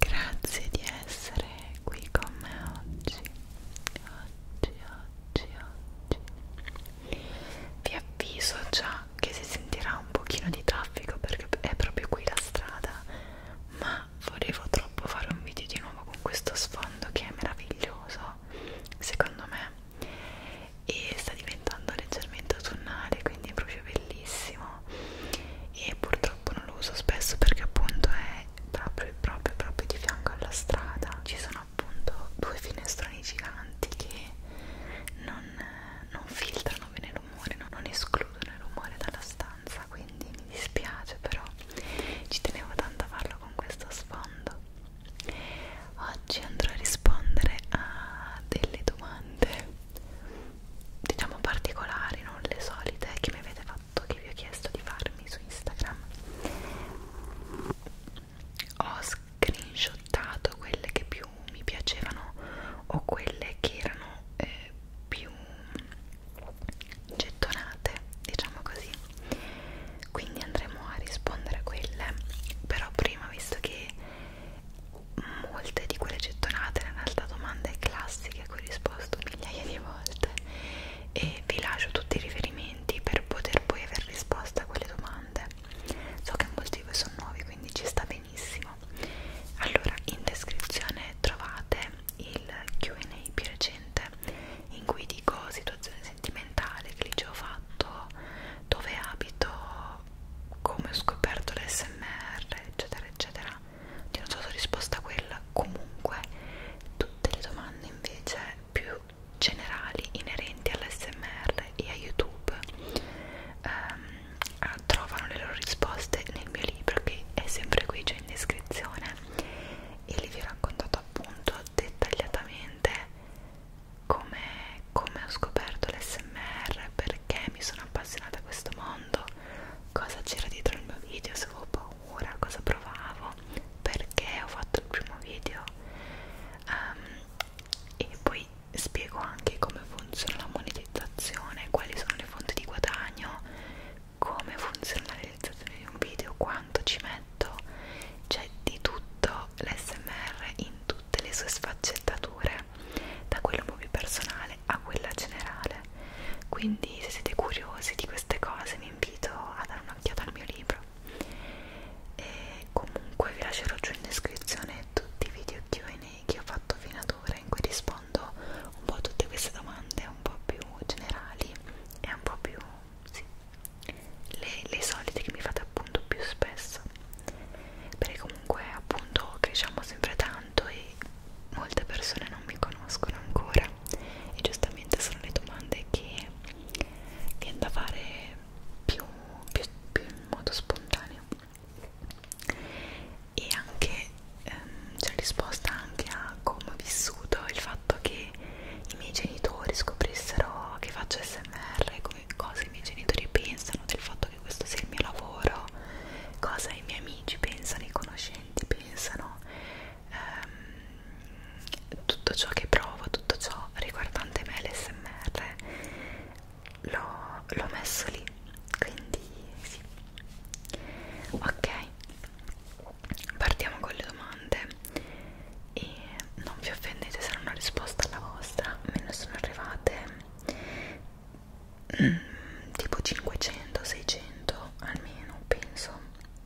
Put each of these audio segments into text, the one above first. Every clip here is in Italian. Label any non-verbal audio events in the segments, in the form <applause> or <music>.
Grazie di essere qui con me oggi. Oggi, oggi, oggi. Vi avviso già che si sentirà un pochino di traffico perché è proprio qui la strada, ma volevo troppo fare un video di nuovo con questo sfondo che è meraviglioso, secondo me e sta diventando leggermente autunnale quindi è proprio bellissimo no e purtroppo non lo uso spesso perché appunto è proprio proprio proprio di fianco alla strada ci sono appunto due finestroni giganti che non, non filtrano bene il rumore no? non escludono il rumore dalla stanza quindi mi dispiace però ci tenevo tanto a farlo con questo sfondo oggi andrò a rispondere a delle domande diciamo particolari, non le solite che mi avete fatto, che vi ho chiesto di farmi su Instagram ho screenshottato quelle che più mi piacevano o quelle che erano eh, più gettonate diciamo così quindi andremo a rispondere a quelle però prima visto che molte di quelle gettonate in realtà domande classiche a cui ho risposto migliaia di volte e vi lascio tutti i riferimenti per poter poi aver risposto a quelle domande so che molti di voi sono nuovi quindi ci sta benissimo allora in descrizione trovate il Q&A più recente in cui dico situazione sentimentale che lì ho fatto dove abito come ho scoperto l'SMR, eccetera, eccetera. Io non so se ho risposto a quella. Comunque, tutte le domande invece più generali inerenti all'SMR e a YouTube ehm, trovano le loro risposte nel mio libro che è sempre qui, cioè in descrizione. E lì vi ho raccontato appunto dettagliatamente come come ho scoperto l'SMR, perché mi sono appassionata a questo mondo, cosa c'era dietro il mio video, se avevo paura, cosa provavo, perché ho fatto il primo video um, e poi spiego anche come funziona la monetizzazione, quali sono le fonti di guadagno, come funziona la realizzazione di un video, quanto ci metto, c'è di tutto l'SMR in in tutte le sue sfaccettature, da quella movie personale a quella generale. Quindi, se siete curiosi di queste cose, vi invito a dare un'occhiata al mio libro. E comunque, vi lascerò giù in descrizione tutti i video QA che ho fatto fino ad ora, in cui rispondo un po' a tutte queste domande, un po' più generali e un po' più. Sì, le, le solite che mi fate appunto più spesso perché comunque appunto cresciamo sempre tanto e molte persone non mi conoscono ancora e giustamente sono le domande che viene da fare più, più, più in modo spontaneo e anche ehm, c'è risposta anche a come ho vissuto il fatto che i miei genitori scoprissero che faccio smr e come cosa i miei genitori pensano del fatto che questo sia il mio lavoro, cosa i miei amici pensano, i conoscenti pensano, ehm, tutto ciò che provo, tutto ciò riguardante me, l'SMR, l'ho messo lì, quindi sì. Ok. Partiamo con le domande e non vi offendete se non ho risposto alla vostra, me ne sono arrivate Mm, tipo 500-600 almeno penso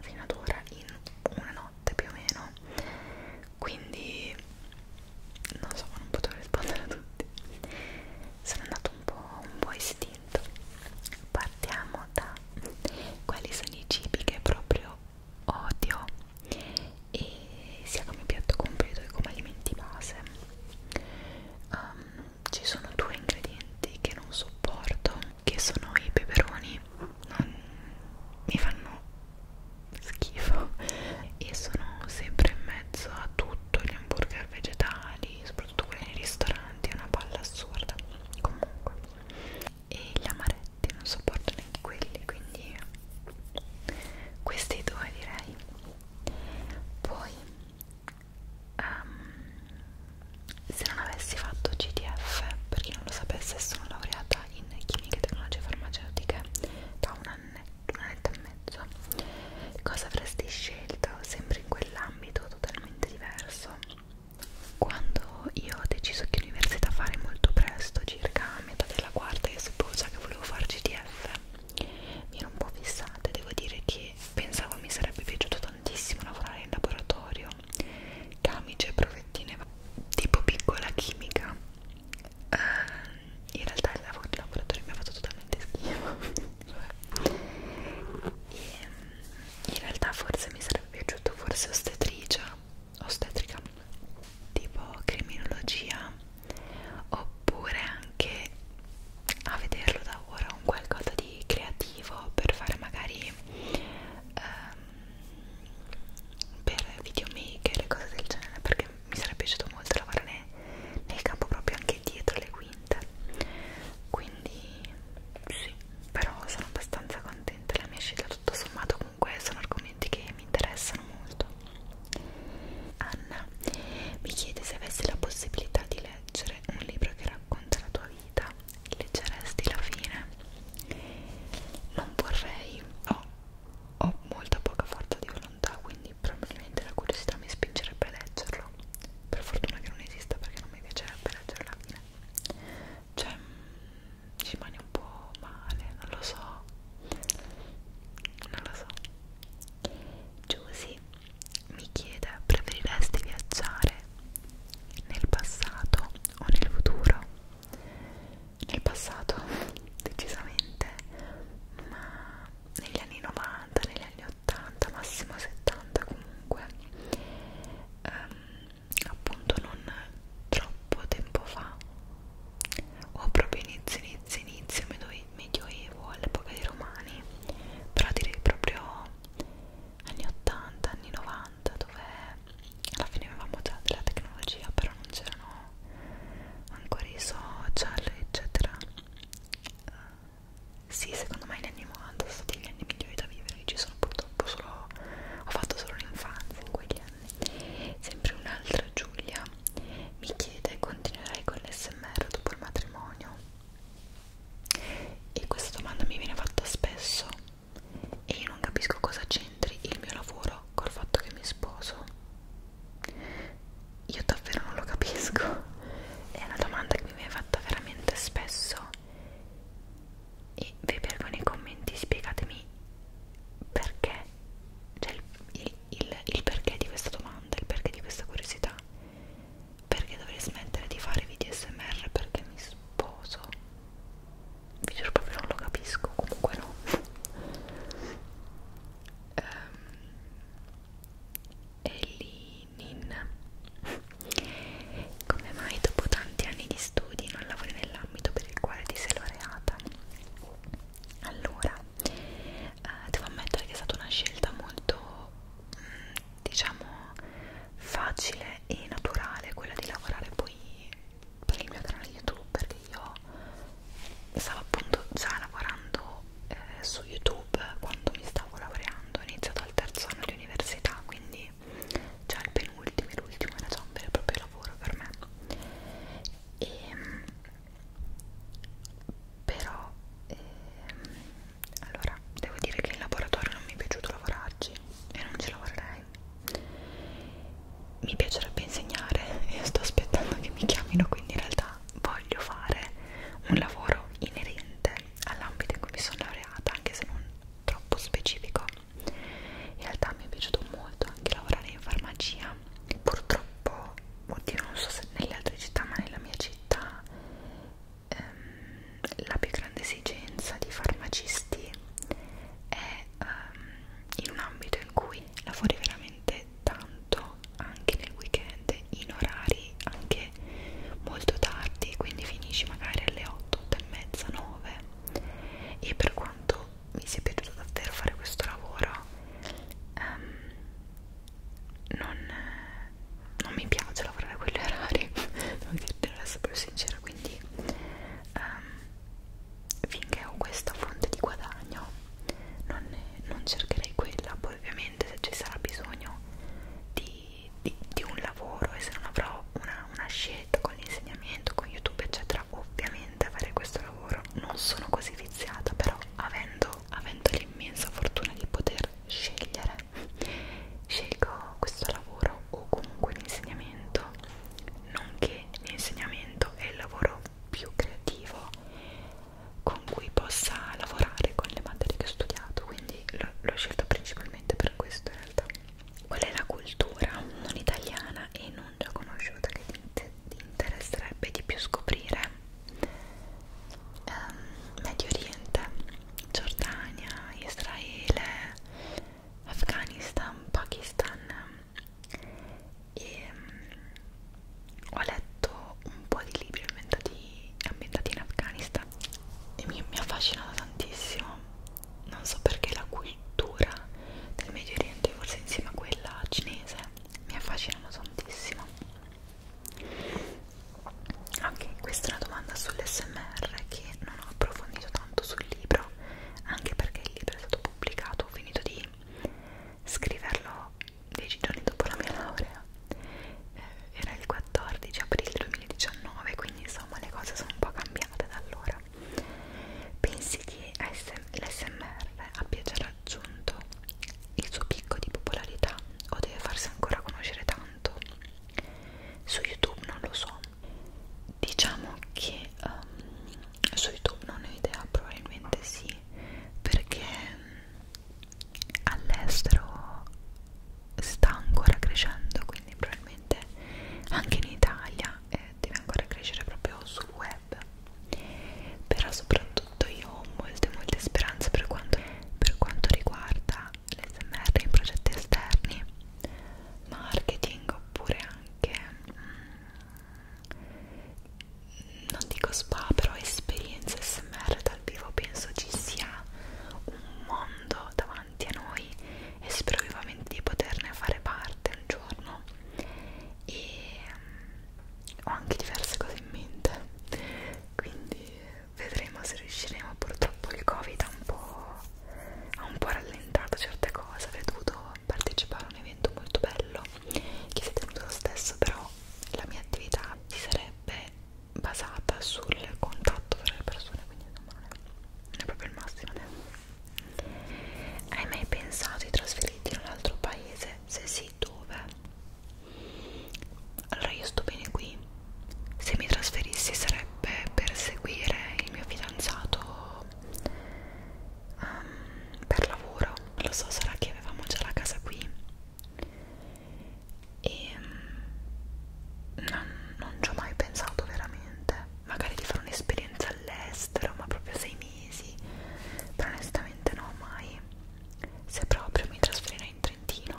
fino ad ora in una notte più o meno quindi non so non potrò rispondere a tutti sono andato un po' un po' istinto partiamo da quali sono i cibi che proprio odio e sia come piatto completo che come alimenti base um, ci sono due ingredienti che non sopporto che sono i peperoni non, mi fanno schifo e sono sempre in mezzo a tutto gli hamburger vegetali soprattutto quelli nei ristoranti è una palla assurda comunque e gli amaretti non sopporto neanche quelli quindi questi due direi poi um, se non avessi fatto GTF per chi non lo sapesse sono laureata in chimica e tecnologie farmaceutiche da un annetto, un annetto e mezzo cosa avresti scelto sempre in quell'ambito totalmente diverso quando io ho deciso che università fare molto presto circa a metà della quarta io supposo che volevo fare GTF mi ero un po' fissata devo dire che pensavo mi sarebbe piaciuto tantissimo lavorare in laboratorio camicie e provettine tipo piccola chimica uh, in realtà il lavoro in laboratorio mi ha fatto totalmente schifo <laughs> e, mm, in realtà forse mi sarebbe piaciuto forse ostetricia ostetrica tipo criminologia oppure anche a vederlo da ora un qualcosa di creativo per fare magari um, per videomaker e cose del genere perché mi sarebbe piaciuto molto lavorare nel campo proprio anche dietro le quinte quindi sì però sono abbastanza contenta la mia scelta tutto sommato comunque comunque sono argomenti che mi interessano molto. Anna mi chiede se avessi la possibilità di leggere un libro che racconta la tua vita, leggeresti la fine? Non vorrei, ho, ho molta poca forza di volontà, quindi probabilmente la curiosità mi spingerebbe a leggerlo. Per fortuna che non esista perché non mi piacerebbe leggere la fine. Cioè, mm, ci rimane un po' male, non lo so non lo so Giusy mi chiede preferiresti viaggiare nel passato o nel futuro? nel passato <laughs> decisamente ma negli anni 90, negli anni 80, massimo 70 comunque ehm, appunto non troppo tempo fa o proprio inizio inizio inizio medioevo all'epoca dei romani però direi proprio anni 80 anni 90 dove alla fine avevamo già della tecnologia però non c'erano ancora i social eccetera eh, sì, secondo me gli anni 90 sono stati gli anni migliori da vivere, ci sono purtroppo solo, ho fatto solo l'infanzia in quegli anni Sempre un'altra Giulia mi chiede continuerai con l'SMR dopo il matrimonio? E questa domanda mi viene fatta spesso e io non capisco cosa c'entri il mio lavoro col fatto che mi sposo. Io davvero non lo capisco. È una domanda che mi viene fatta veramente spesso. E vi prego nei commenti spiegatemi perché, cioè il, il, il, il perché di questa domanda, il perché di questa curiosità, perché dovrei smettere di fare video smr perché mi sposo, vi giuro proprio non lo capisco, comunque no. um, ehm, Elinin come mai dopo tanti anni di studi non lavori nell'ambito per il quale ti sei laureata? allora eh, devo ammettere che è stata una scelta molto mh, mm, diciamo facile e naturale quella di lavorare poi per il mio canale youtube perché io stavo appunto già lavorando eh, su youtube quando mi stavo laureando ho iniziato al terzo anno di università quindi già il penultimo e l'ultimo era già un vero e proprio lavoro per me e, ehm, però e, ehm, allora devo dire che in laboratorio non mi è piaciuto lavorarci e non ci lavorerei mi piacerebbe insegnare e sto aspettando che mi chiamino quindi in realtà voglio fare un lavoro inerente all'ambito in cui mi sono laureata anche se non troppo specifico in realtà mi è piaciuto molto anche lavorare in farmacia purtroppo oddio non so se nelle altre città ma nella mia città ehm, la più grande esigenza di farmacisti è ehm, in un ambito in cui lavori veramente tanto anche nel weekend in orari anche molto tardi quindi finisci magari alle 8, 8 e mezza 9 e per quanto mi sia piaciuto davvero fare questo lavoro um, non, non mi piace lavorare a quegli orari <laughs> devo dirti essere sincera quindi um, finché ho questa fonte di guadagno non, ne, non cercherei quella poi ovviamente se ci sarà bisogno di, di, di un lavoro e se non avrò una, una scelta con l'insegnamento, con youtube eccetera ovviamente a fare questo lavoro non sono così viziata però avendo, avendo l'immensa fortuna di poter scegliere scelgo questo lavoro o comunque l'insegnamento nonché l'insegnamento è il lavoro più creativo con cui possa lavorare con le materie che ho studiato quindi l'ho scelto principalmente per questo in realtà qual è la cultura non italiana e non già conosciuta che ti, ti interesserebbe di più scoprire? Um, Medio Oriente, Giordania, Israele, Afghanistan, Pakistan e um, ho letto un po' di libri ambientati, ambientati in Afghanistan e mi, mi affascina tantissimo non so perché la cultura del Medio Oriente, forse insieme a quella cinese, mi affascinano tantissimo. Ok, questa è una domanda sull'SMR che non ho approfondito tanto sul libro, anche perché il libro è stato pubblicato, ho finito di scriverlo dieci giorni dopo la mia laurea. Eh, era il 14 aprile 2019, quindi insomma le cose sono un po' cambiate da allora. Pensi che l'SMR abbia già raggiunto il suo picco di popolarità o deve farsi ancora conoscere tanto? Su YouTube non lo so. Diciamo che um, su YouTube non ho idea, probabilmente sì, perché all'estero sta ancora crescendo, quindi probabilmente sicuramente anche in Italia eh, deve ancora crescere proprio sul web però soprattutto io ho molte molte speranze per quanto, per quanto riguarda l'SMR in progetti esterni marketing oppure anche mm, non dico spa però esperienze SMR dal vivo penso ci sia un mondo davanti davanti a noi e spero vivamente di poterne fare parte un giorno e mm, ho anche diverse cose in mente quindi vedremo se riusciremo purtroppo il covid ha un po', ha un po rallentato certe cose avrei dovuto partecipare a un evento molto bello che si è tenuto lo stesso però la mia attività si sarebbe basata sul contatto tra le persone quindi insomma non è, non è proprio il massimo hai mai pensato di trasferirti in un altro paese? Se sì, dove? Allora io sto bene qui. Se mi trasferissi sarebbe per seguire il mio fidanzato um, per lavoro. Lo so, sarà che avevamo già la casa qui. E um, non, non ci ho mai pensato veramente magari di fare un'esperienza all'estero, ma proprio sei mesi, però onestamente no, mai. Se proprio mi trasferirò in Trentino.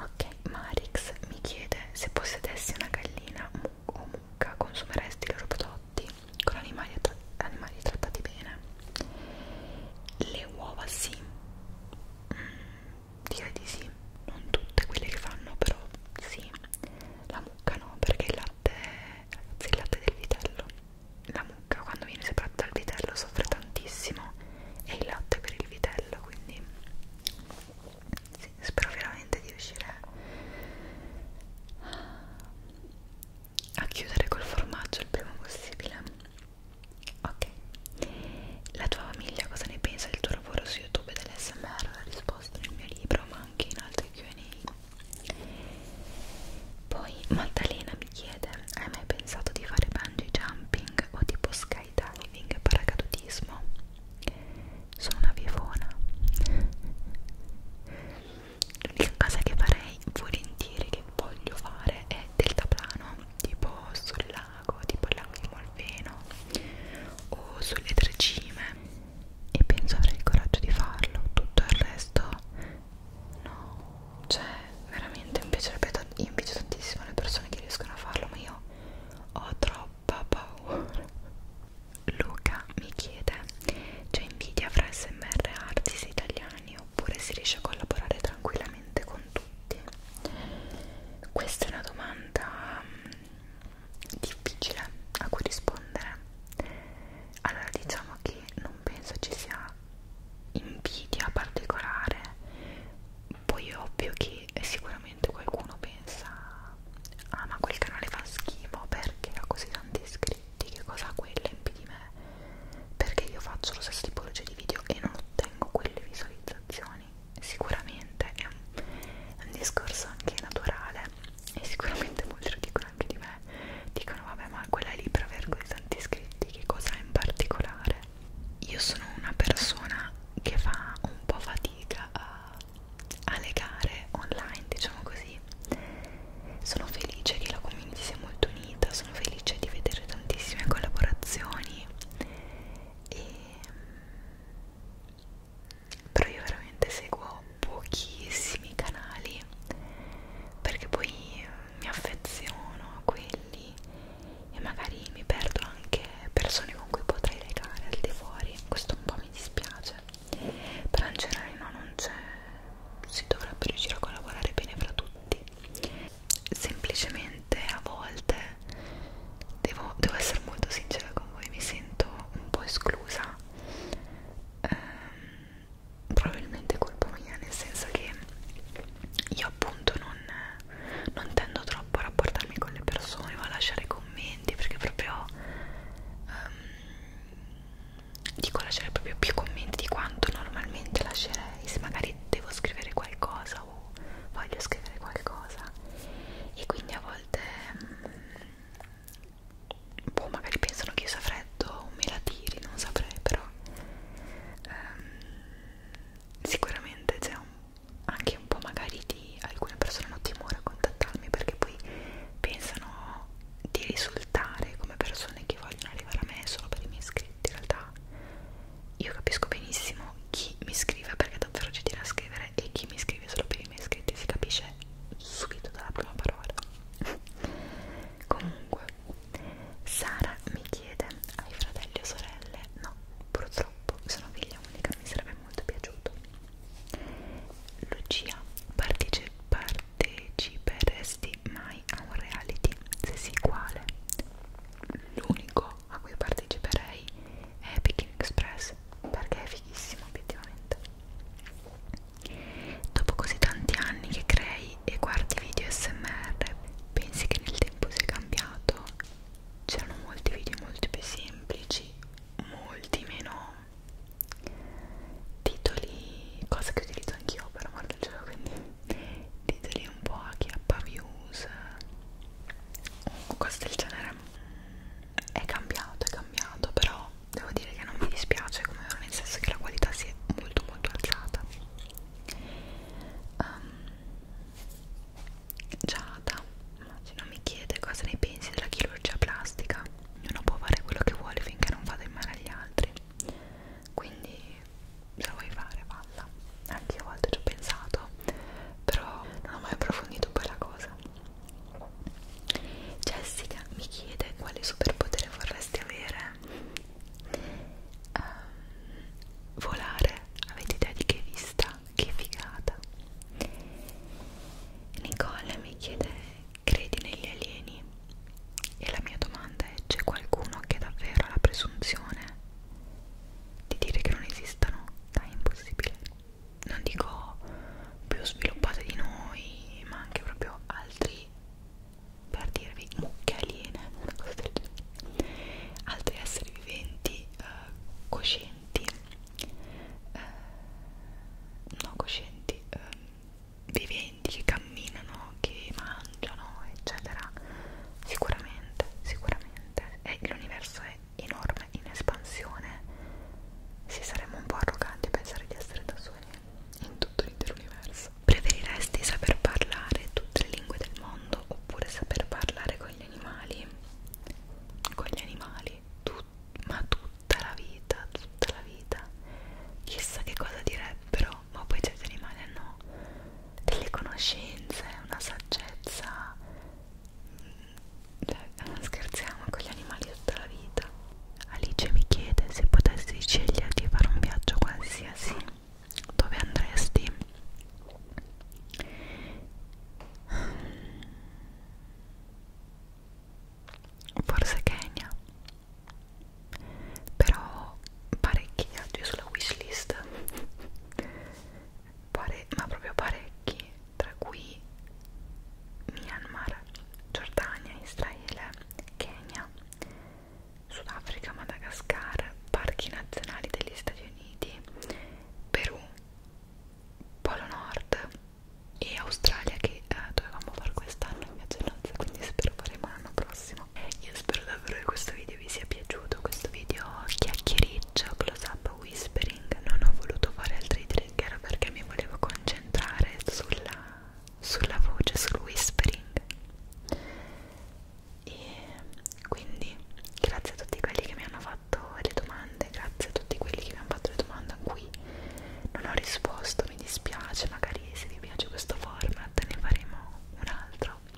Ok, Marix mi chiede se possedessi una gallina o mucca, consumeresti i loro prodotti con animali, tra animali trattati bene? Le uova sì, mm, direi di sì sì, non tutte quelle che fanno, però sì, la mucca no, perché il latte, ragazzi, il latte del vitello, la mucca quando viene separata dal vitello soffre tantissimo e il latte per il vitello, quindi sì, spero veramente di riuscire a chiudere col formaggio il prima possibile ok la tua famiglia cosa ne pensa del tuo lavoro su youtube e dell'smr ho risposto nel mio libro ma anche in altri Q&A poi Maddalena mi chiede hai mai pensato di fare bungee jumping o tipo skydiving paracadutismo? sono una vivona l'unica cosa che farei volentieri che voglio fare è deltaplano tipo sul lago tipo il lago di Molveno o sulle tre cime e penso avrei il coraggio di farlo tutto il resto no cioè veramente mi piacerebbe io invece tantissimo le persone che riescono a farlo ma io ho troppa paura Luca mi chiede c'è invidia fra smr artists italiani oppure si riesce a collaborare tranquillamente con tutti questa è una domanda mm, difficile a cui rispondere allora diciamo che non penso ci sia invidia particolare poi è ovvio che sicuramente qualcuno pensa ah ma quel canale fa schifo perché ha così tanti iscritti che cosa ha quella in più di me perché io faccio lo stesso tipologia di video e non ottengo quelle visualizzazioni sicuramente è un, è un discorso anche naturale e sicuramente molti lo dicono anche di me dicono vabbè ma quella lì però avere così tanti iscritti che cosa è in particolare io sono una persona che fa un po' fatica a, a legare online diciamo così sono felice che la community sia molto unita sono felice di vedere tantissime collaborazioni e però io veramente seguo pochissimi canali perché poi mi affeziono a quelli e magari mi perdo anche persone con cui potrei legare al di fuori questo un po' mi dispiace però in generale no non c'è si dovrebbe riuscire a collaborare bene fra tutti semplicemente a volte devo, devo essere molto sincera con voi, mi sento un po' esclusa, ehm, probabilmente colpa mia, nel senso che io appunto non, non tendo troppo a rapportarmi con le persone o a lasciare commenti perché proprio um, dico lasciare proprio più commenti di quanto normalmente lascerei se magari devo scrivere qualcosa o voglio scrivere qualcosa e quindi a volte mh, mm, boh, magari pensano che io sia freddo me la tiri, non saprei però ehm, sicuramente c'è anche un po' magari di alcune persone hanno timore a contattarmi perché poi pensano di risultare come persone che vogliono arrivare a me solo per i miei iscritti in realtà io capisco benissimo chi mi scrive perché è davvero gentile a scrivere e chi mi scrive solo per i miei iscritti si capisce subito dalla prima parola <laughs> comunque Sara mi chiede hai fratelli o sorelle? no purtroppo sono figlia unica mi sarebbe molto piaciuto Lucia partecipa parteciperesti mai a un reality? se sì quale? l'unico a cui parteciperei è Picking Express perché è fighissimo obiettivamente dopo così tanti anni che crei e guardi video smr pensi che nel tempo sia cambiato c'erano molti video molto più semplici molti meno titoli cosa che utilizzo anch'io per amore del gioco quindi titoli un po' a chiappa views o cose del genere è cambiato, è cambiato, però devo dire che non mi dispiace come ora, nel senso che la qualità si è molto molto alzata. Um, Giada, immagino mi chiede cosa ne pensi della chirurgia plastica. Ognuno può fare quello che vuole finché non vada in mano agli altri. Quindi se la vuoi fare, falla. Anche io a volte ci ho pensato, però non ho mai approfondito poi la cosa Jessica mi chiede quale superpotere vorresti avere um, volare avete idea di che vista? che figata Nicole mi chiede credi negli alieni? e la mia domanda è c'è qualcuno che davvero ha la presunzione di dire che non esistano è impossibile non dico più sviluppate di noi ma anche proprio altri per dirvi mucche aliene altri esseri viventi eh, coscienti eh, no coscienti eh, viventi che camminano che mangiano eccetera sicuramente sicuramente l'universo è enorme in espansione, si saremmo un po' arroganti a pensare di essere da soli in tutto l'intero universo. Preferiresti saper parlare tutte le lingue del mondo oppure saper parlare con gli animali? Con gli animali, tut ma tutta la vita, tutta la vita. Chissà che cosa direbbero, ma poi certi animali hanno delle conoscenze, una saggezza cioè, scherziamo con gli animali tutta la vita Alice mi chiede se potessi scegliere di fare un viaggio qualsiasi dove andresti forse Kenya però parecchi viaggi sulla wishlist pare, ma proprio parecchi, tra cui Myanmar, Giordania, Israele, Kenya, Sudafrica, Madagascar, parchi nazionali degli Stati Uniti, Perù, Polo Nord e Australia che eh, dovevamo fare quest'anno in viaggianza, quindi spero faremo l'anno prossimo. Io spero davvero che questo video vi sia piaciuto, questo video chiacchierito close up whispering non ho voluto fare altri trigger perché mi volevo concentrare sulla, sulla voce, sul whispering e quindi grazie a tutti quelli che mi hanno fatto le domande grazie a tutti quelli che mi hanno fatto le domande a cui non ho risposto mi dispiace magari se vi piace questo format ne faremo un altro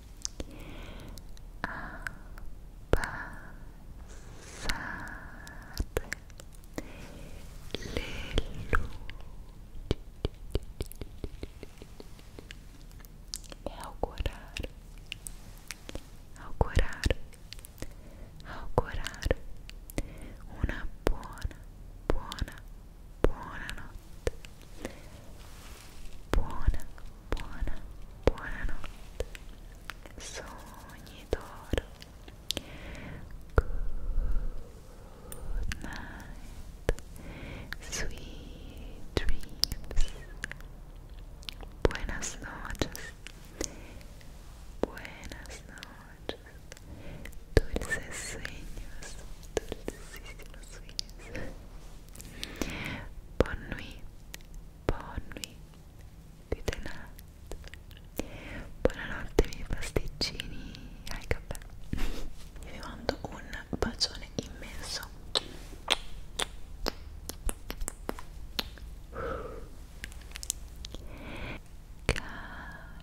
a passare le luci e augurare augurare augurare una buona buona buona notte buona, buona, buonanotte. Sogni d'oro. Good night. Sweet dreams. Buenas noches. Buenas noches. Dulces sueños. Dulcísimos sueños. Bonne nuit. Bonnie di The Night. Buonanotte miei pasticcini ai caffè. Vi mando un bacione immenso. Calisper